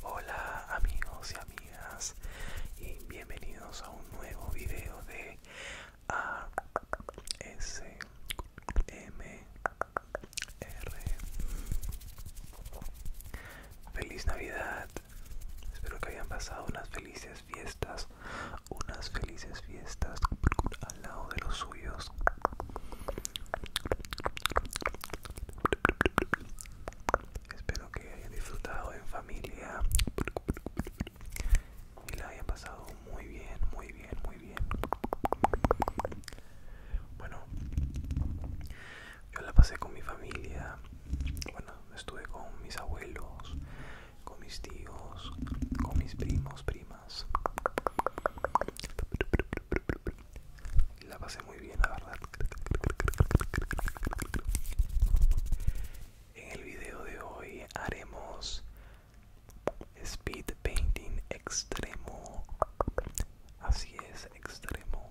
Hola amigos y amigas y bienvenidos a un nuevo video de R feliz Navidad. Espero que hayan pasado unas felices fiestas, unas felices fiestas al lado de los suyos. Espero que hayan disfrutado en familia y la hayan pasado muy bien, muy bien, muy bien. Bueno, yo la pasé con mi familia. Bueno, estuve con mis abuelos, con mis tíos, con mis primos, primas. La pasé muy bien, la verdad. En el video de hoy haremos speed painting extremo. Así es, extremo.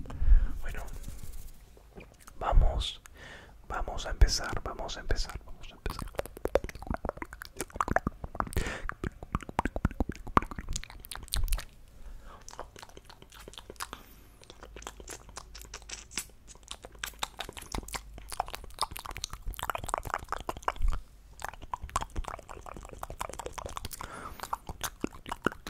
Bueno, vamos, vamos a empezar, vamos a empezar, vamos a empezar.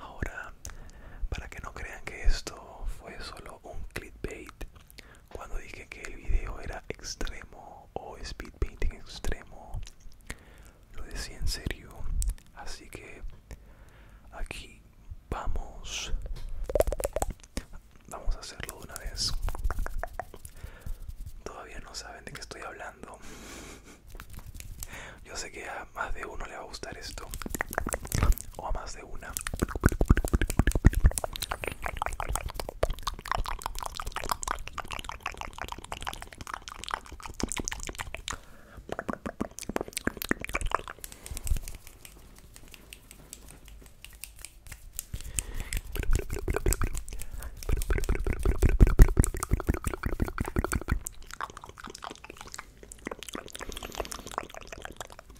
Ahora, para que no crean que esto fue solo un clickbait, cuando dije que el video era extremo o speed painting extremo, lo decía en serio así que aquí vamos vamos a hacerlo de una vez todavía no saben de qué estoy hablando yo sé que a más de uno le va a gustar esto o a más de una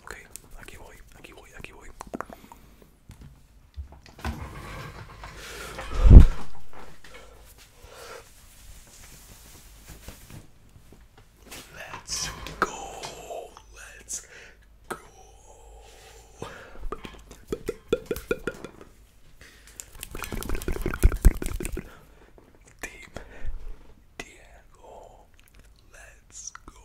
Ok, aquí voy, aquí voy, aquí voy. Let's go. Let's go. Team Diego. Let's go.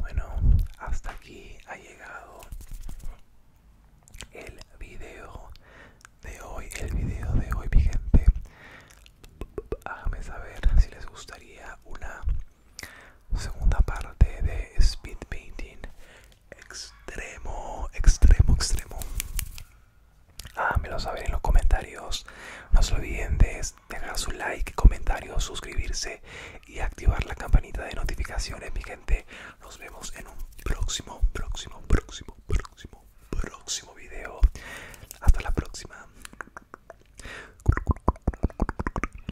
Bueno, hasta aquí ha llegado el video de hoy. El video de hoy, mi gente. Háganme saber si les gustaría una segunda parte de speed painting extremo extremo extremo ah, me lo saben en los comentarios no se olviden de dejar su like comentario suscribirse y activar la campanita de notificaciones mi gente nos vemos en un próximo próximo próximo próximo próximo video hasta la próxima